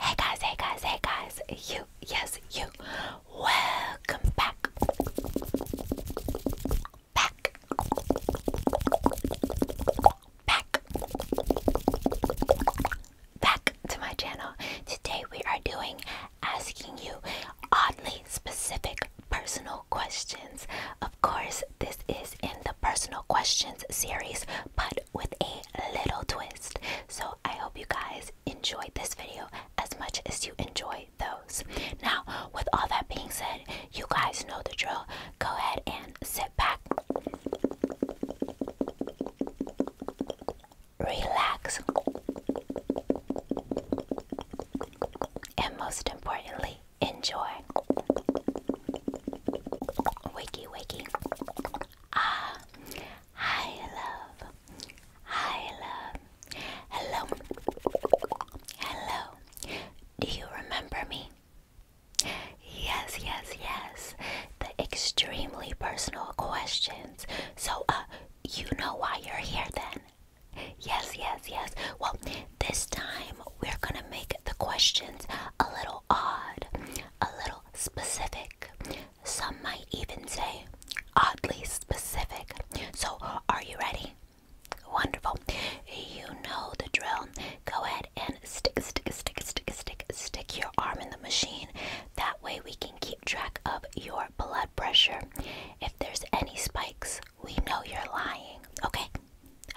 Hey guys, hey guys, hey guys, you, yes, you, welcome back, back, back, back to my channel. Today we are doing asking you oddly specific personal questions. Of course, this is in the personal questions series, but with a little twist. So I hope you guys enjoyed this video as much as you enjoy those. Now, with all that being said, you guys know the drill. Go ahead and sit back, relax, and most importantly, Enjoy. Wakey, wakey. Ah, hi, love. Hi, love. Hello. Hello. Do you remember me? Yes, yes, yes. The extremely personal questions. So, uh, you know why you're here then? Yes, yes, yes. Well, this time we're going to make the questions a little odd, a little specific. Some might even say oddly specific. So, are you ready? Wonderful. You know the drill. Go ahead and stick, stick, stick, stick, stick, stick your arm in the machine. That way we can keep track of your blood pressure. If there's any spikes, we know you're lying. Okay.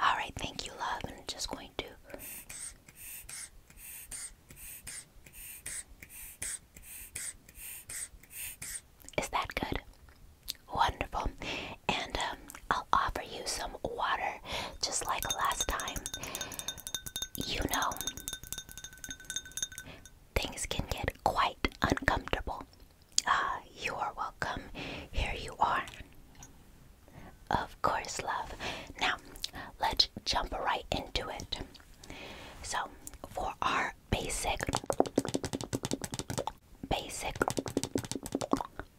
All right. Thank you, love. I'm just going to. Is that good? Wonderful. And um, I'll offer you some water just like last time. You know, things can get quite uncomfortable. Ah, you are welcome. Here you are. Of course, love. Now, let's jump right into it. So, for our basic, basic,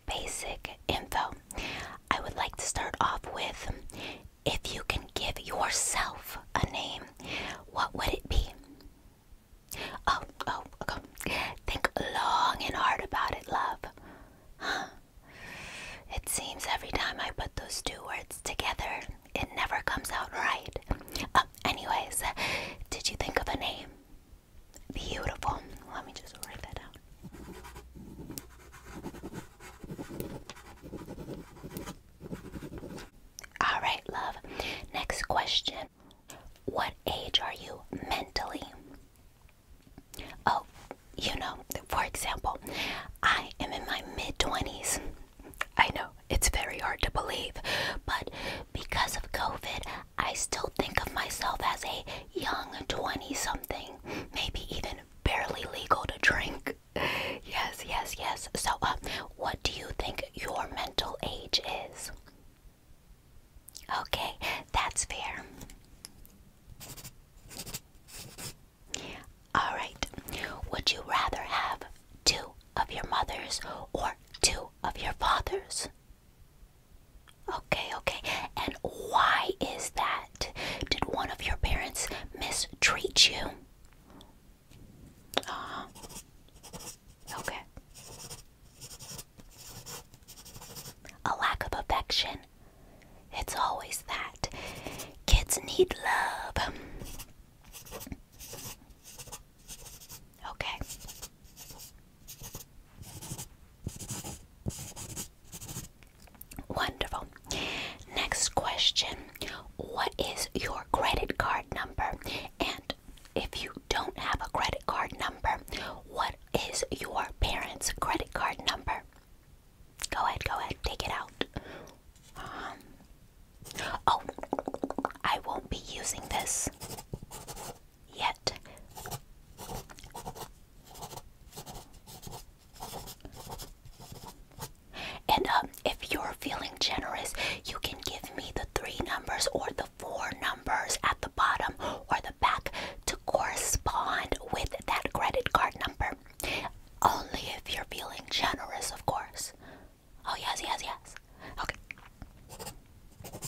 basic info, I would like to start off with if you can give yourself a name, what would it be? Oh, oh, Think long and hard about it, love. Huh. It seems every time I put those two words together, it never comes out right. Oh, anyways, did you think of a name? Beautiful. Let me just write that down. All right, love. Next question what age are you mentally? Oh, you know, for example, I am in my mid 20s. I know it's very hard to believe, but because of COVID, I still think of myself as a young 20 something, maybe even barely legal to drink. Yes, yes, yes. So, uh, what do you think your mental age is? Okay, that's fair. Alright, would you rather have two of your mothers or two of your fathers? Okay, okay. And why is that? Did one of your parents mistreat you? Uh Okay. A lack of affection. It's always that. Kids need love. Okay. Wonderful. Next question What is your credit card number? And if you don't have a credit card number, what is your parents' credit card number? Go ahead, go ahead, take it out. Um, oh, I won't be using this yet. And um, if you're feeling generous, you can give me the three numbers or the four numbers at the bottom or the back to correspond with that credit card number. Only if you're feeling generous, of course. Oh, yes, yes, yes. Okay.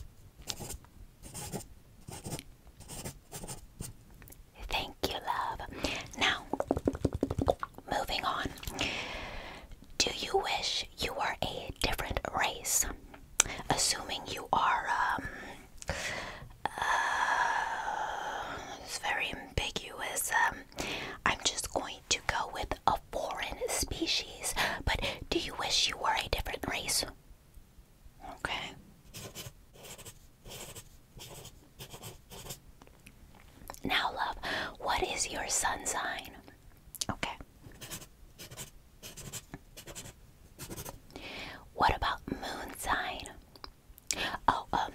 Thank you, love. Now, moving on. Do you wish you are a different race, assuming you are. Um, uh, it's very ambiguous. Um, I'm just going to go with a foreign species. But do you wish you were a different race? Okay. Now, love, what is your sun sign? Okay. What about moon sign? Oh, um,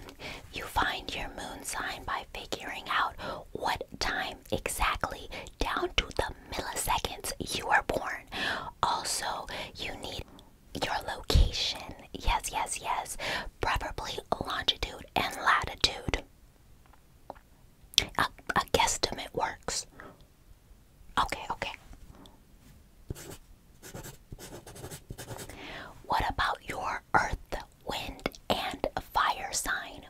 you find your moon sign by figuring out what time exactly, down to the milliseconds, you were born. Also, you need your location. Yes, yes, yes. Preferably longitude and latitude. A, a guesstimate works. Okay, okay. What about your earth, wind, and fire sign?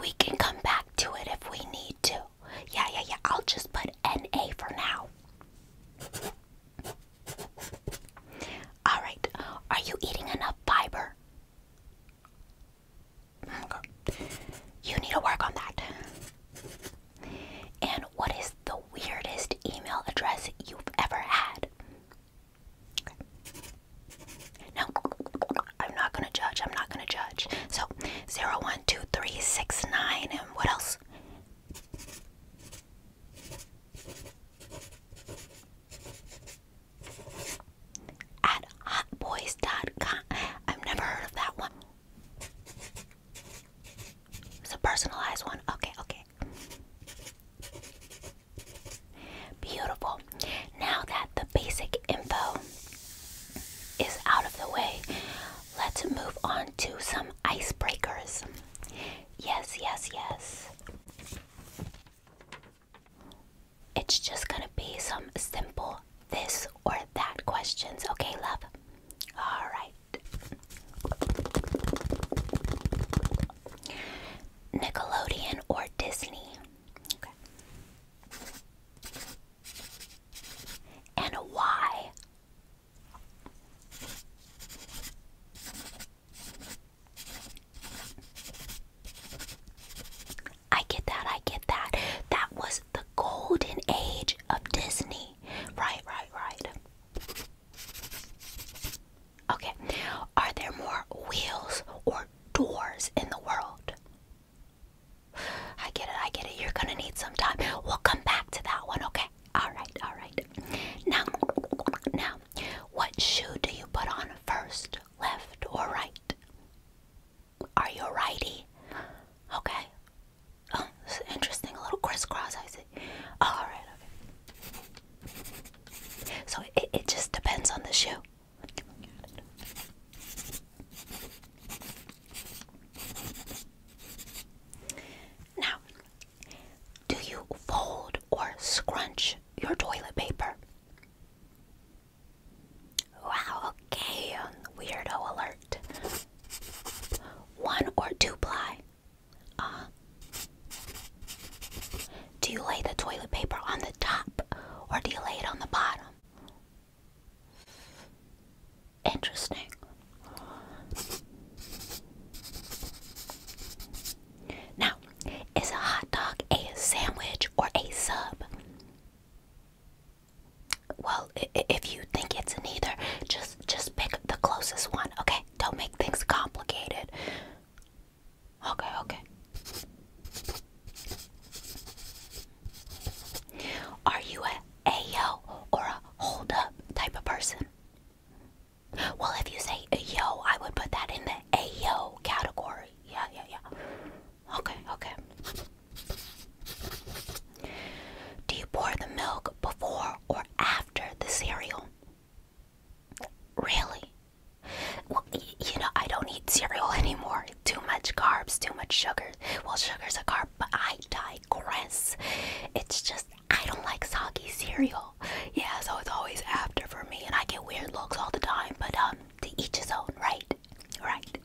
We can come back to it if we need to. Yeah, yeah, yeah. I'll just put NA for now. Alright, are you eating enough fiber? You need to work on that. And what is the weirdest email address you've ever had? Okay. I'm not gonna judge. I'm not gonna judge. So, zero one two three six nine, and what else? at hotboys.com. I've never heard of that one. It's a personalized one. Okay, okay. Beautiful. Now that the basic info is out of the way, let's move on to some icebreakers. Yes, yes, yes. It's just gonna be some simple this or that questions, okay, love? Alright. Nickelodeon or Disney? Okay. And why? I get that, I get that. That was the golden age of Disney. Right, right, right. Okay, are there more wheels or doors in the world? I get it, I get it. You're gonna need some time. We'll come back to that one, okay? Alright, alright. Now, now, what shoe do you put on first, left or right? Are you a righty? Okay. Oh, interesting. A little crisscross, I see. All right. Okay. So it, it just depends on the shoe. Now, do you fold or scrunch your toilet paper. Wow, okay, weirdo alert. One or two ply. Uh, do you lay the toilet paper on the top or do you lay it on the bottom? Interesting. Now, is a hot dog a sandwich or a sub? Well, if you think it's neither, just just pick the closest one. Okay, don't make things complicated. Okay, okay. Are you a ayo or a hold up type of person? Well, if you say ayo, I would put that in the ayo category. Yeah, yeah, yeah. Okay, okay. Do you pour the milk before or after the cereal? Really? Well, you know, I don't eat cereal anymore. Too much carbs, too much sugar. Well, sugar's a carb, but I digress. It's just I don't like soggy cereal. Yeah, so it's always after for me, and I get weird looks all the time. But um, to each his own, right? Right.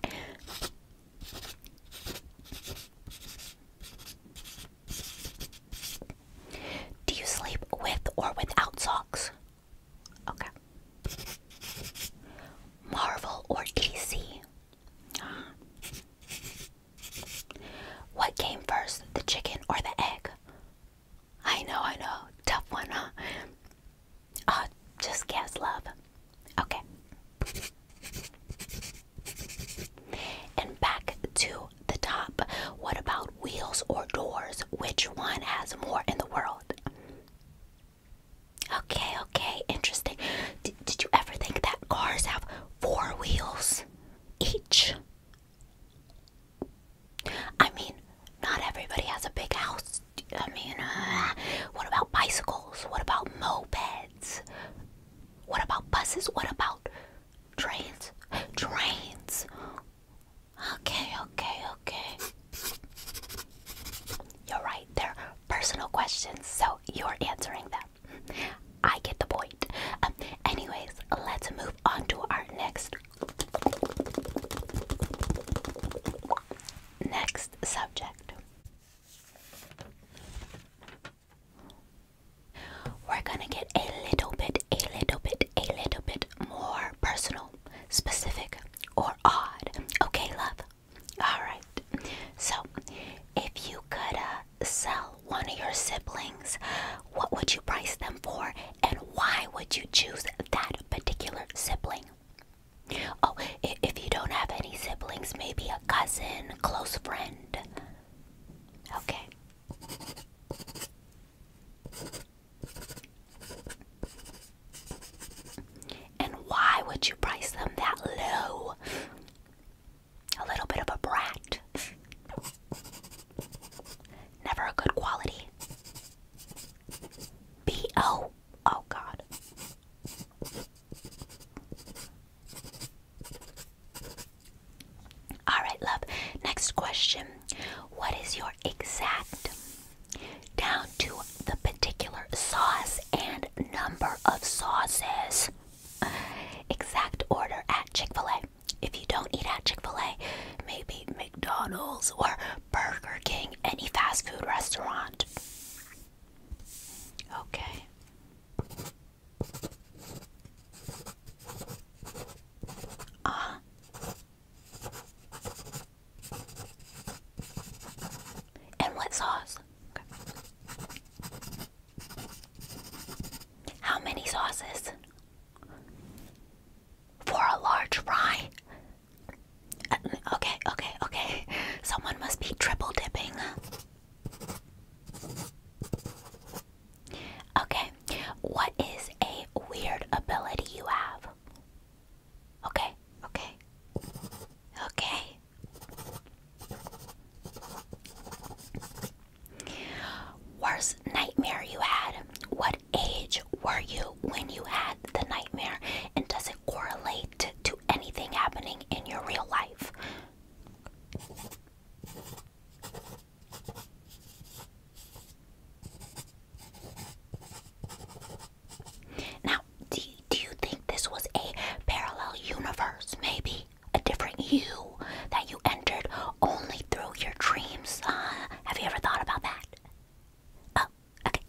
Do you sleep with or without socks? Okay. Marvel or DC? What came first, the chicken or the egg? I know, I know. Tough one, huh? Oh, just guess, love. Okay. And back to the top. What about wheels or doors? Which one has more in the world? Okay, okay, interesting. did you ever think that cars have four wheels each? I mean, not everybody has a big house. I mean, uh, what about bicycles? What about mopeds? What about buses? What about trains? Trains. Okay, okay, okay. You're right. They're personal questions, so you're answering them. I get the point. Um, anyways, let's move on to our next next subject. We're gonna get a little bit, a little bit, a little bit more personal, specific, or odd. Okay, love. All right. So, if you could uh, sell one of your siblings, what would you price them for and why would you choose that particular sibling? Oh, if you don't have any siblings, maybe a cousin, close friend. Okay. And why would you price them that low? a little bit of a brat. Never a good quality. B O. Oh, God. Alright, love. Next question. What is your exact, down to the particular sauce and number of sauces? Exact order at Chick fil A. If you don't eat at Chick fil A, maybe McDonald's or Burger King, any fast food restaurant. Okay. Uh And what sauce? How many sauces? For a large fry? Uh, okay, okay, okay. Someone must be triple dipping. Okay, what is a weird ability you have? Okay, okay, okay. Worst nightmare you had. What age were you when you had the nightmare? And does it correlate to anything happening in your real life? Now, do, do you think this was a parallel universe, maybe? a different you that you entered only through your dreams. Uh, have you ever thought about that? Oh, okay.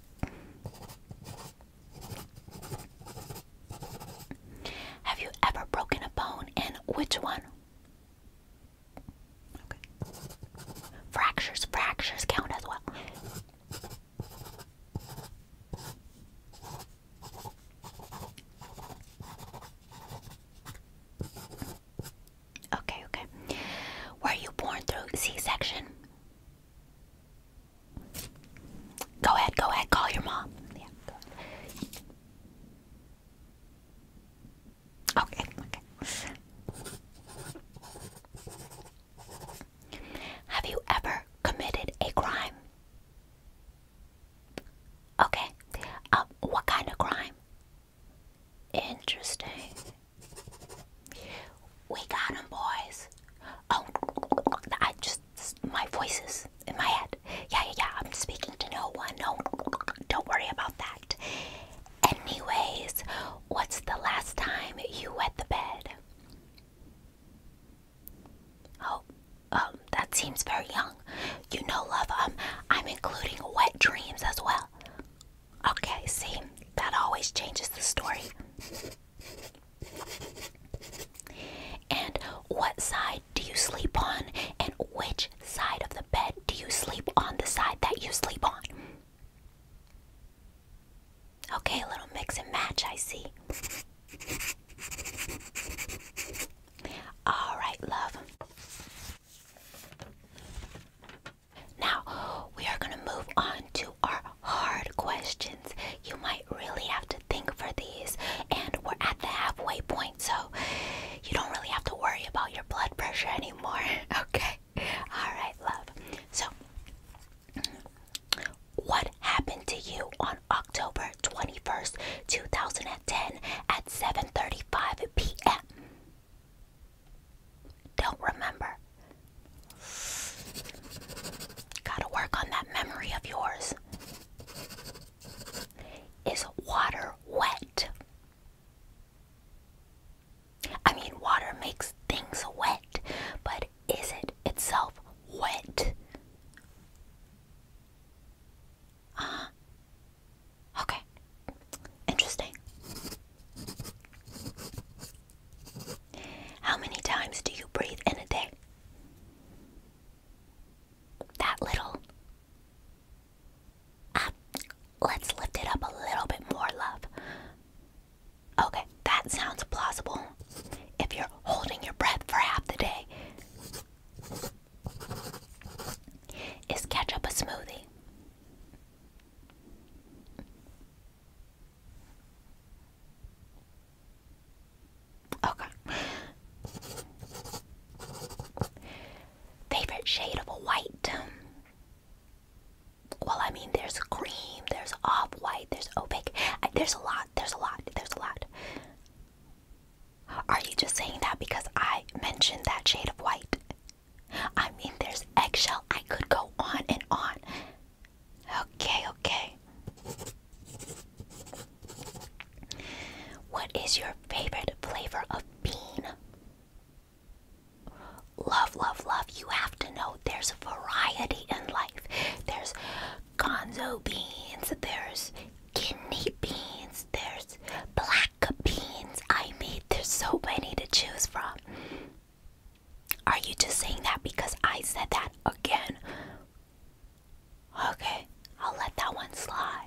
Have you ever broken a bone and which one? Okay. Fractures, fractures count as well. Okay, okay. Were you born through C-section? Go ahead, go ahead, call your mom. Yeah, Okay, okay. Have you ever committed a crime? Okay. Um, what kind of crime? Interesting. We got him, boys. Oh, I just my voices in my head. Yeah, yeah, yeah. I'm speaking to no one. No, don't worry about that. Anyways, what's the last time you wet the bed? Oh, um, that seems very young. You know, love, um, I'm including wet dreams as well. Okay, see, that always changes the story. And what side do you sleep on? And which side of the bed do you sleep on? The side that you sleep on. Okay, a little mix and match, I see. All right, love. Now, we are going to move on to our hard questions. You might really have to think for these, and we're at the halfway point, so you don't really have to worry about your blood pressure anymore. Okay? All right, love. So, what happened to you on October 21st, 2010 at 7:35 p.m.? Don't remember. Gotta work on that memory of yours. Is water wet? I mean, water makes things wet, but is it itself wet? Uh Okay. Interesting. How many times do you breathe in a day? That little. Ah, let's lift it up a little bit more, love. Okay, that sounds plausible. If you're holding your breath for half the day, is ketchup a smoothie? Okay. Favorite shade of white? Well, I mean, there's green there's off white, there's opaque. there's a lot, there's a lot, there's a lot. Are you just saying that because I mentioned that shade of white? I mean, there's eggshell. I could go on and on. Okay, okay. What is your favorite flavor of bean? Love, love, love. You have have to know there's variety in life. There's gonzo beans, there's kidney beans, there's black beans. I mean, there's so many to choose from. Are you just saying that because I said that again? Okay, I'll let that one slide.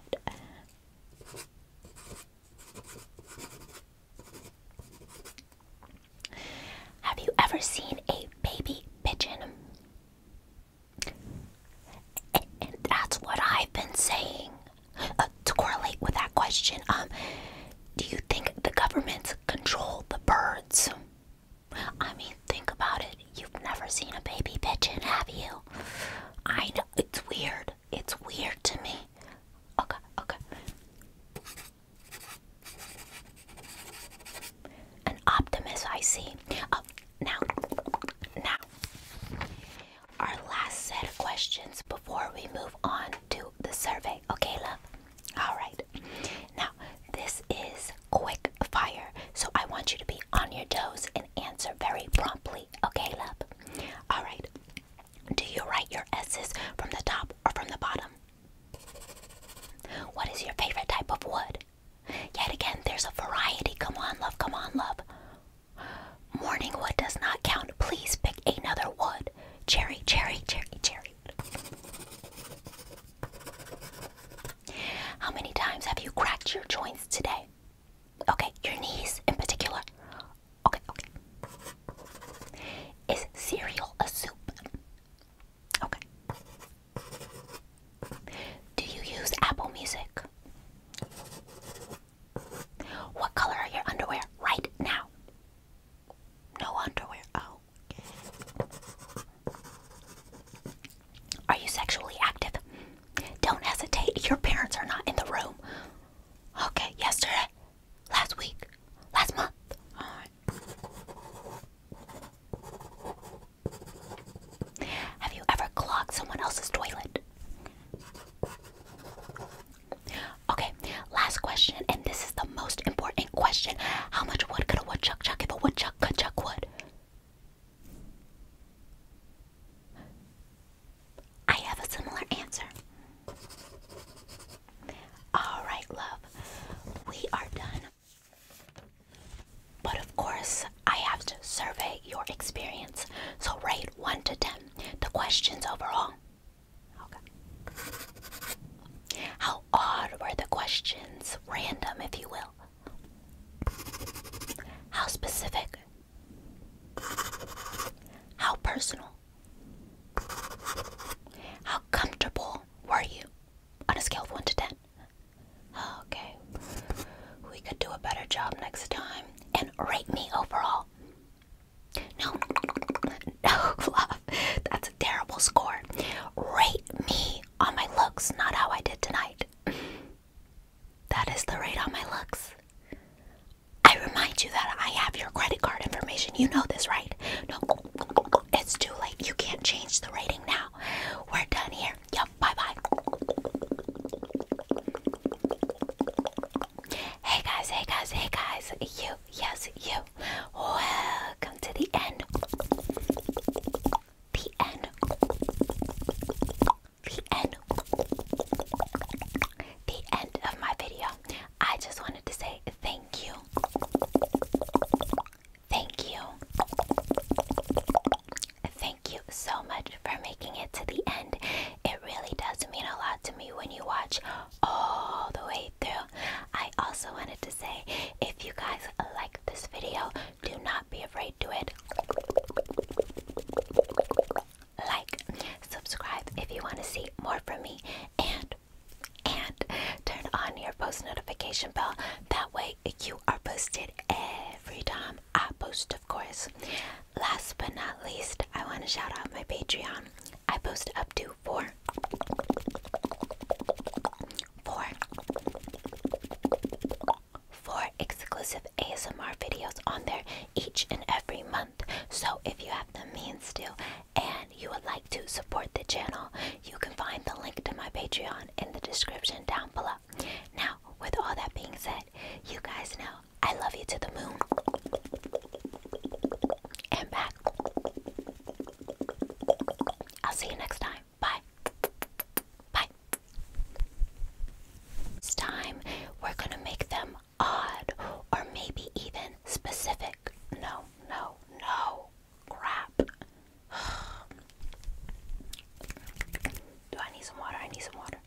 Have you ever seen a baby pigeon? that's what I've been saying. Uh, to correlate with that question, um, do you think the governments control the birds? I mean, think about it. You've never seen a baby pigeon, have you? I know it's weird. It's weird to me. Okay, okay. An optimist, I see. Oh, now, now, our last set of questions before we move on to the survey. Okay, love? All right. Now, this is quick fire, so I want you to be on your toes and answer very promptly. Okay, love? All right. Do you write your S's from the top or from the bottom? What is your favorite type of wood? Yet again, there's a variety. Come on, love, come on, love. Morning wood does not count. Please pick another wood. Cherry, cherry, cherry, cherry. How many times have you cracked your joints today? Okay, your knees in particular. Okay, okay. Is cereal a soup? Okay. Do you use Apple Music? What color are your underwear right now? No underwear. Oh. Are you sexually active? Don't hesitate. Your parents are not in the room. Okay, yesterday last week, last month. Have you ever clogged someone else's toilet? Okay, last question, and this is the most important question. How much wood could a woodchuck chuck if a woodchuck could chuck wood? I have a similar answer. All right, love, we are done. But of course, I have to survey your experience. So rate 1 to 10 the questions overall. Okay. How odd were the questions? Random, if you will. How specific? How personal? How comfortable were you on a scale of 1 to 10? Okay. We could do a better job next time and rate me overall. No, no, Fluff. That's a terrible score. Rate me on my looks, not how I did tonight. That is the rate on my looks. I remind you that I have your credit card information. You know this, right? No, it's too late. You can't change the rating now. We're done here. Yep, bye bye. Hey guys, hey guys, hey guys. You, yes, you. Welcome to the end. The end. The end. The end of my video. I just wanted to say thank you. Thank you. Thank you so much for making it to the end. It really does mean a lot to me when you watch all the way through. I also wanted to say if you guys like this video, do not be afraid to it like, subscribe if you want to see more from me, and and turn on your post notification bell. That way you are posted every time I post, of course. Last but not least, I want to shout out my Patreon. I post up to four four four exclusive ASMR videos on there each and every month. So if you have the means to and you would like to support the channel, you can find the link to my Patreon in the description down below. Now, with all that being said, you guys know I love you to the moon and back. I'll see you next time. Bye. Bye. This time, we're gonna make them odd or maybe even specific. No, no, no. Crap. Do I need some water? I need some water.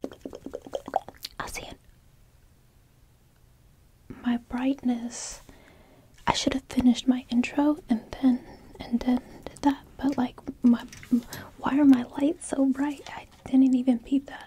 i see it. My brightness. I should have finished my intro and then and then did that, but like my why are my lights so bright? I didn't even peep that.